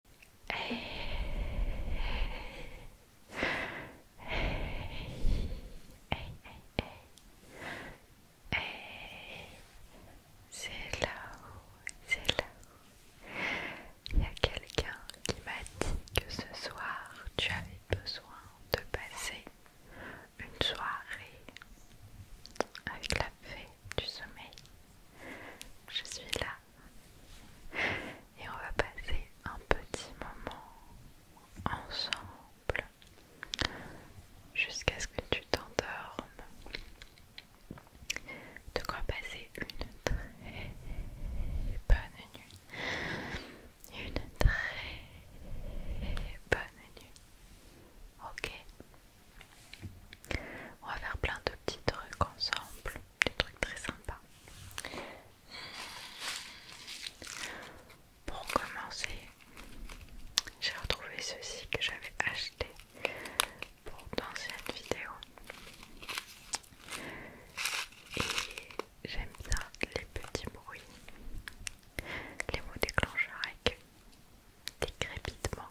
C'est là c'est là Il y a quelqu'un qui m'a dit que ce soir tu avais besoin de passer une soirée avec la fée du sommeil. Je suis là et on va passer un petit moment ensemble jusqu'à ce que tu t'endormes. De quoi passer une très bonne nuit. Une très bonne nuit. Ok. On va faire plein de petits trucs ensemble des trucs très sympas. Pour commencer, j'ai retrouvé ceci que j'avais acheté pour d'anciennes vidéos. Et j'aime bien les petits bruits, les mots déclencheurs avec des crépitements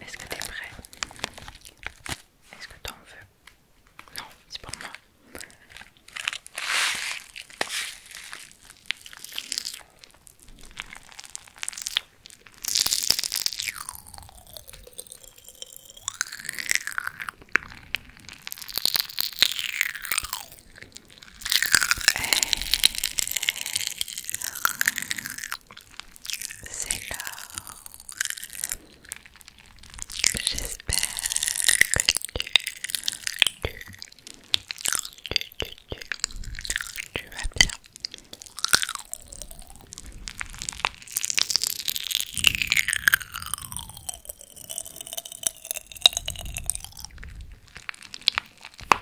Est-ce que t'es prêt Est-ce que t'en veux Non, c'est pour moi c'est l'heure. J'espère que tu, tu, tu, tu, tu, tu vas bien.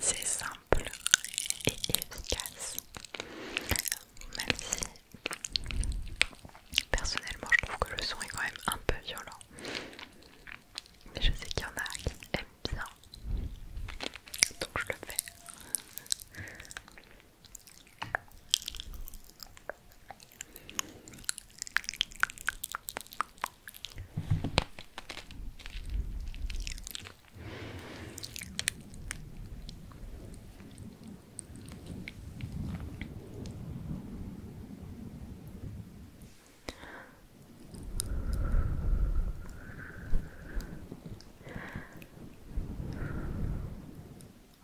C'est simple et efficace, même si personnellement je trouve que le son est quand même un peu violent. Mais je sais qu'il y en a bien. Donc je le fais.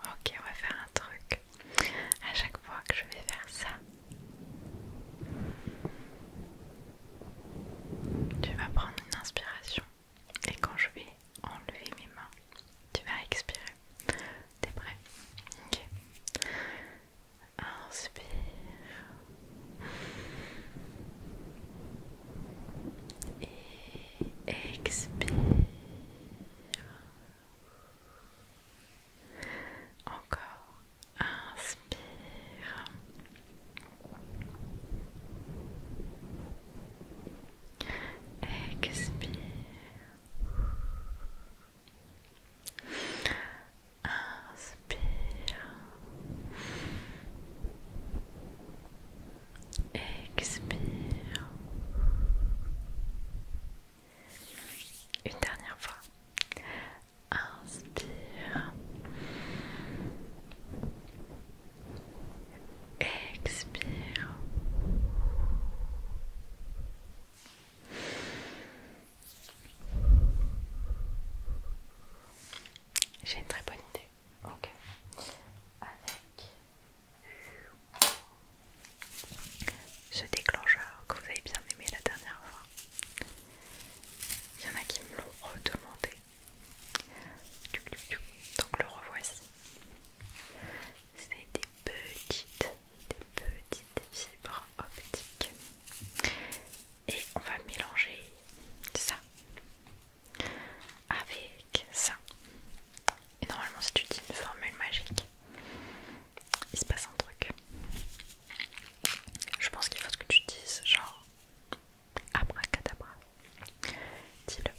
Ok, on va faire un truc. À chaque fois que je vais faire ça, tu vas prendre une inspiration et quand je vais enlever mes mains, tu vas expirer. T'es prêt Ok. Inspire. Et expire. Encore. Inspire. Expire. Expire. expire. Une dernière fois. Inspire. Expire. J'ai une très bonne idée. Ok. Avec ce déclencheur que vous avez bien aimé la dernière fois. Il y en a qui me l'ont redemandé. Donc le revoici. C'est des petites, des petites fibres optiques et on va mélanger ça avec ça. Et normalement, si tu dis une formule magique, il se passe un truc. Je pense qu'il faut que tu dises genre abracadabra. Dis-le.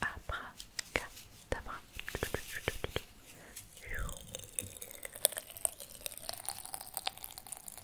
Abracadabra.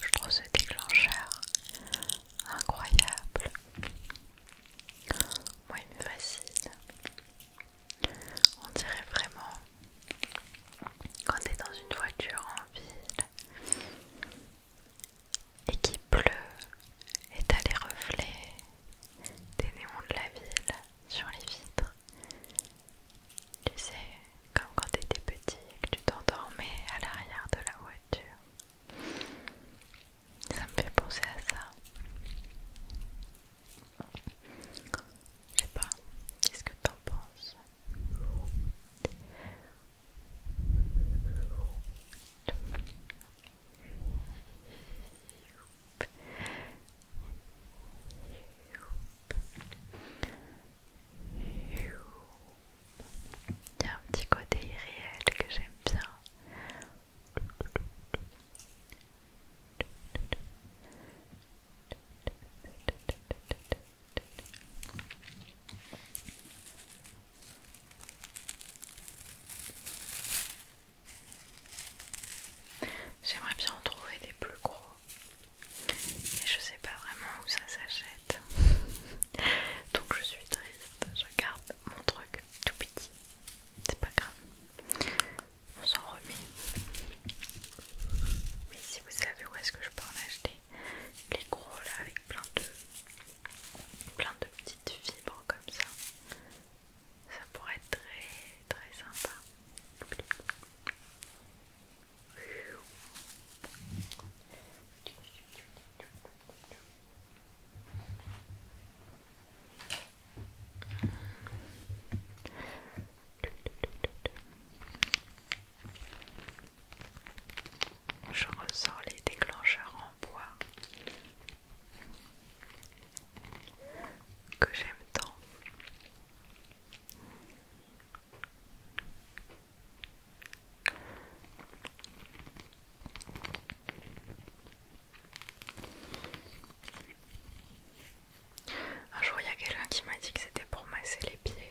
Je trouve ce déclencheur incroyable. Moi, il me fascine. On dirait vraiment quand t'es dans une voiture en ville et qu'il pleut et t'as les reflets des néons de la ville sur les vitres. Tu sais, comme quand tu étais petit et que tu t'endormais à l'arrière de la voiture. Ça me fait penser à ça. Je sais pas, qu'est-ce que t'en penses il y a un petit côté irréel que j'aime bien. J'aimerais bien en trouver des plus gros, mais je sais pas vraiment où ça s'achète. Donc je suis triste, je garde mon truc tout petit. C'est pas grave, on s'en remet. Mais si vous savez où est-ce que je peux en acheter, les gros là avec plein de, plein de petites fibres comme ça, ça pourrait être très très sympa. Je ressors les déclencheurs en bois que j'aime tant. Un jour, il y a quelqu'un qui m'a dit que c'était pour masser les pieds.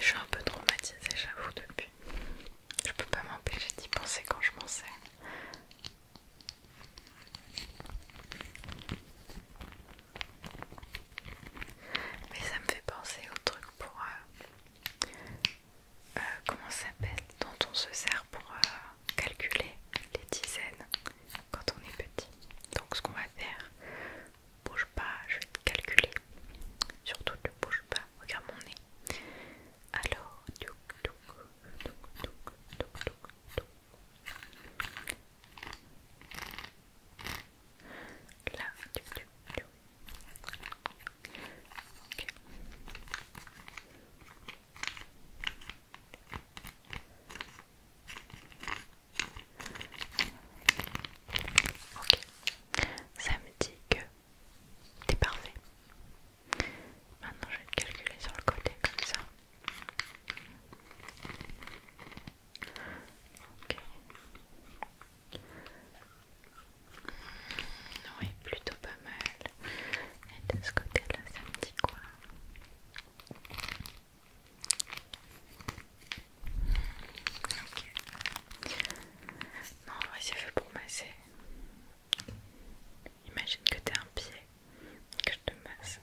Je suis un peu traumatisée, j'avoue, depuis. Je peux pas m'empêcher d'y penser quand je m'en sers. Mais ça me fait penser au truc pour... Euh, euh, comment ça s'appelle Dont on se sert pour euh, calculer les dizaines quand on est petit. Donc ce qu'on va faire, bouge pas, je vais te calculer. Surtout ne bouge pas, regarde mon nez. Alors, là, ok, ça me dit que t'es parfait. Maintenant, je vais le calculer sur le côté comme ça. Ok. Hmm, oui, plutôt pas mal. Et de ce côté-là, ça me dit quoi hmm, Ok. Non, ouais, c'est fait pour masser. Imagine que t'es un pied, que je te masse.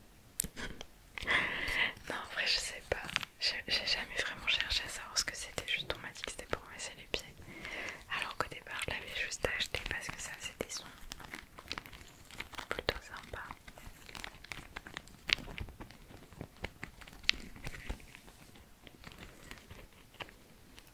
non, en vrai, je sais pas. J'ai jamais vraiment cherché à savoir ce que c'était. Juste, on m'a dit que c'était pour masser les pieds. Alors qu'au départ, je l'avais juste acheté parce que ça c'était plutôt sympa.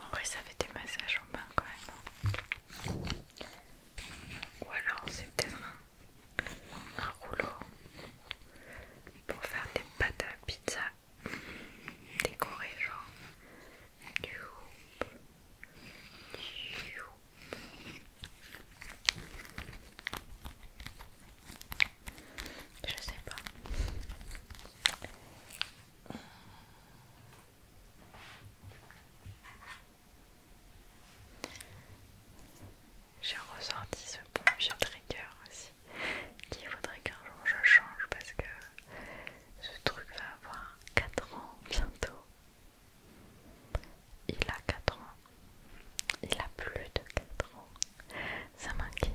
En vrai, ça fait des massages en bain quand même. Hein. Ou alors, c'est peut-être un rouleau pour faire des pâtes à pizza décorées genre je sais pas j'ai ressorti ce bon vieux trigger aussi qui faudrait qu'un jour je change parce que ce truc va avoir 4 ans bientôt il a 4 ans il a plus de 4 ans ça m'inquiète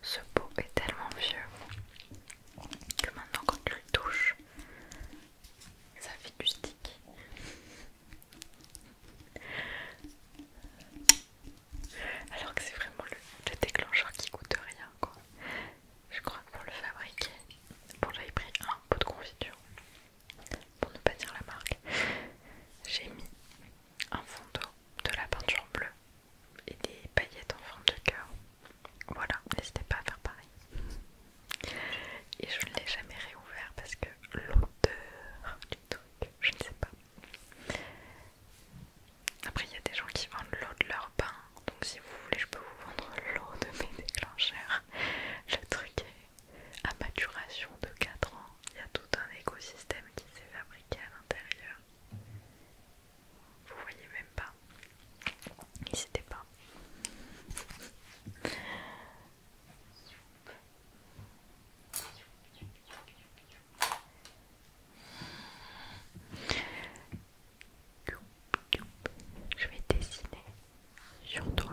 Ce pot est tellement vieux que maintenant quand tu le touches, ça fait du stick. Alors que c'est vraiment le, déclencheur qui coûte rien quoi. Je crois que pour le fabriquer, pour j'avais pris un pot de confiture, pour ne pas dire la marque, j'ai mis un fond de la peinture bleue et des paillettes en forme de cœur voilà, n'hésitez pas à faire pareil. Et je ne l'ai jamais réouvert parce que l'odeur du truc, je ne sais pas. Après, il y a des gens qui vendent l'eau de leur bain, donc si vous voulez, je peux vous vendre l'eau de mes déclencheurs. Le truc est à maturation de 4 ans. Il y a tout un écosystème qui s'est fabriqué à l'intérieur. Vous voyez même pas. N'hésitez pas. Je vais dessiner sur toi.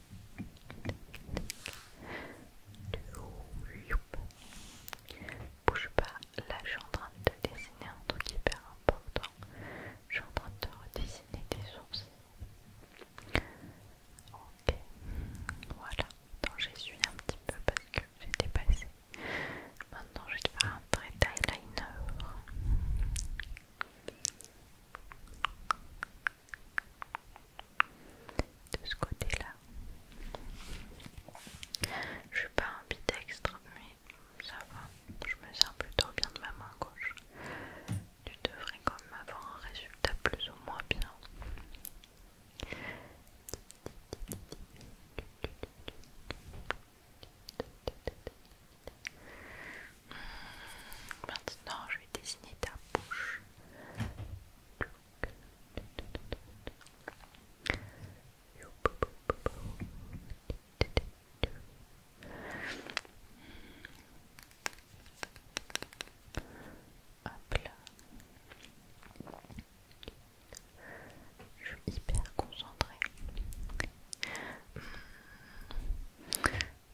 Bouge pas, là je suis en train de te dessiner un truc hyper important. Je suis en train de redessiner des sourcils. Ok, voilà. Donc suivi un petit peu parce que j'étais dépassé. Maintenant je vais te faire un trait d'eyeliner de ce côté-là. Je suis pas un bitextre, mais ça va. Je me sens plutôt bien de ma main gauche. Tu devrais quand même avoir un résultat plus ou moins bien. Hmm, maintenant, je vais dessiner ta bouche. Hop là. Je suis hyper concentrée.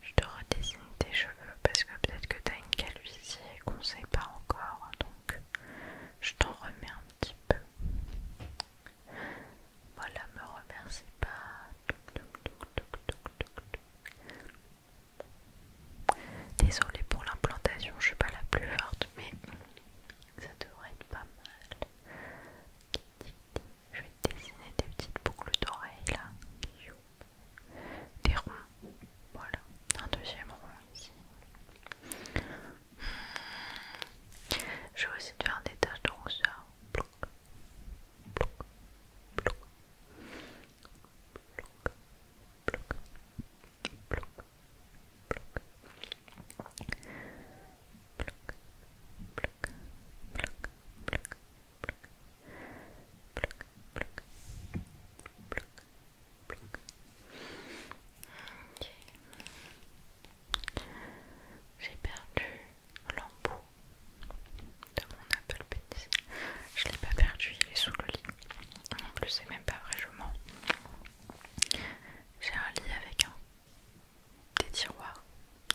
Je te redessine tes cheveux parce que peut-être que tu as une calvitie et qu'on ne sait pas encore. Donc je t'en remets un petit peu. Voilà, me remercie pas. Désolée pour l'implantation, je suis pas la plus forte, mais ça devrait être pas mal. Je vais te dessiner des petites boucles d'oreilles là des ronds. Voilà, un deuxième rond ici. Je vais aussi faire des taches de rousseur. bloc j'ai perdu l'embout de mon Apple Pencil. Je l'ai pas perdu, il est sous le lit. En plus, c'est même pas vrai, je mens. J'ai un lit avec un des tiroirs.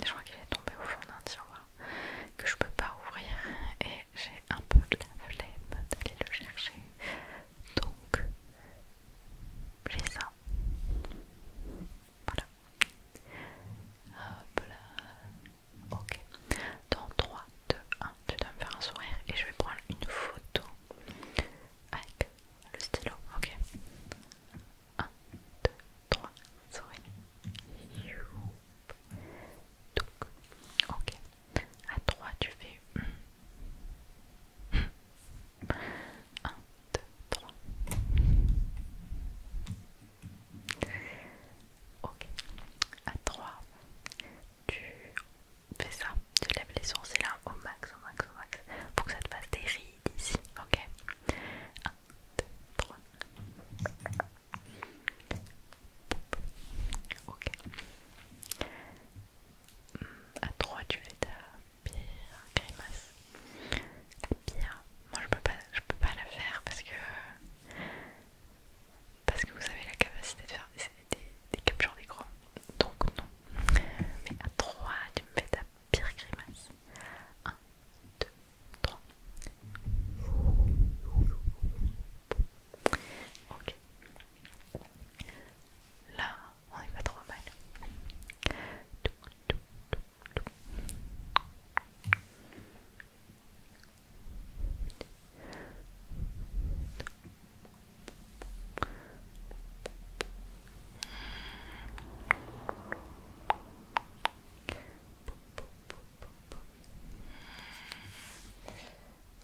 Je crois qu'il est tombé au fond d'un tiroir que je peux pas ouvrir. Et j'ai un peu de la flemme d'aller le chercher. Donc, j'ai ça. Voilà. Hop là. Ok. Dans 3, 2, 1, tu dois me faire un sourire et je vais prendre une photo avec le stylo. Ok. 1, 2, 3, souris. Donc, ok. À 3, tu fais 1, 2, 3. Ok. À 3, tu fais ça. Tu lèves les sourcils hein, au max, au max, au max. Pour que ça te fasse des rides ici. Ok. 1, 2, 3. Ok. Hmm, à 3 tu fais ta pire grimace. La pire. Moi, je peux pas, je peux pas la faire parce que parce que vous avez la capacité de faire des, des captures d'écran. Donc non. Mais à 3, tu me fais ta pire grimace. 1, 2, 3. Ok. Là, on n'est pas trop mal.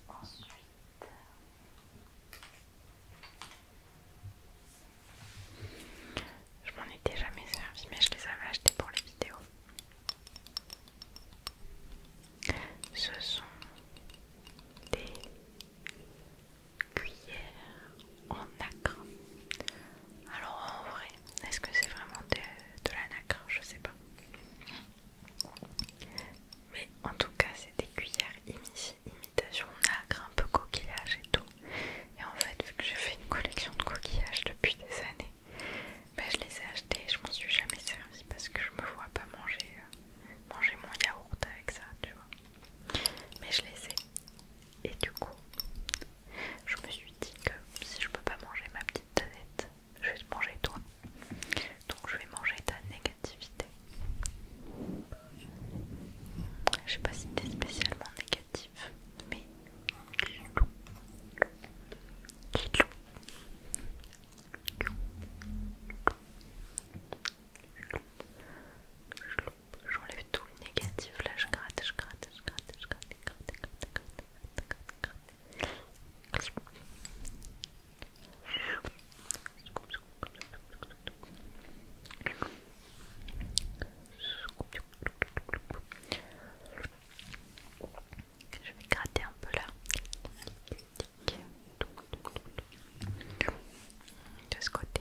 Ensuite, je m'en étais jamais servi, mais je les avais achetés pour les vidéos. Ce sont des cuillères en acre. Alors en vrai, est-ce que c'est vraiment de, la nacre Je sais pas. Mais en tout cas, c'est des cuillères imitation nacre, un peu coquillage et tout. Et en fait, vu que j'ai fait une collection de coquillages depuis des années, ben, je les ai achetées je m'en suis jamais servi parce que je me vois pas manger, euh, manger mon yaourt avec ça, tu vois. Mais je les ai. Et du coup, je me suis dit que si je peux pas manger ma petite tanette, je vais te manger toi. Donc je vais manger ta négativité. Je sais pas si t'es spécialement négatif, mais J'enlève tout le négatif là, je gratte, je gratte, je gratte, je gratte, je gratte, je gratte, je gratte, je vais gratter un peu là. De ce côté.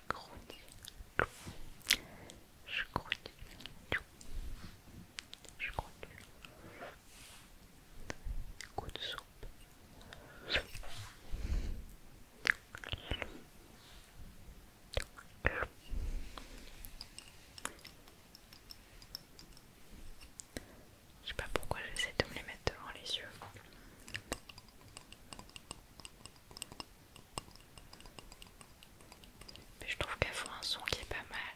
Je Je Je de soupe. Je sais pas pourquoi j'essaie de me les mettre devant les yeux. Mais je trouve qu'elle faut un son qui est pas mal.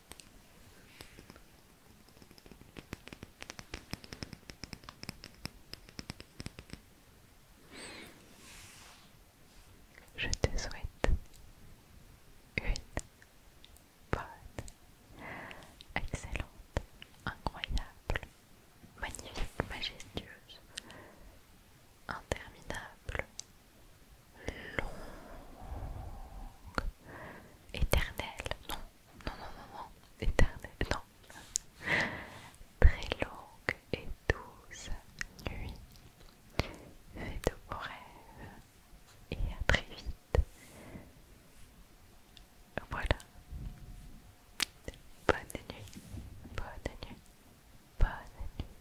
Je te souhaite une bonne, excellente, incroyable, magnifique, majestueuse, interminable longue, éternelle, non, non, non, non, non, éternelle, non, très longue et douce nuit, faites de vos rêves et à très vite. Voilà, bonne nuit, bonne nuit, bonne nuit.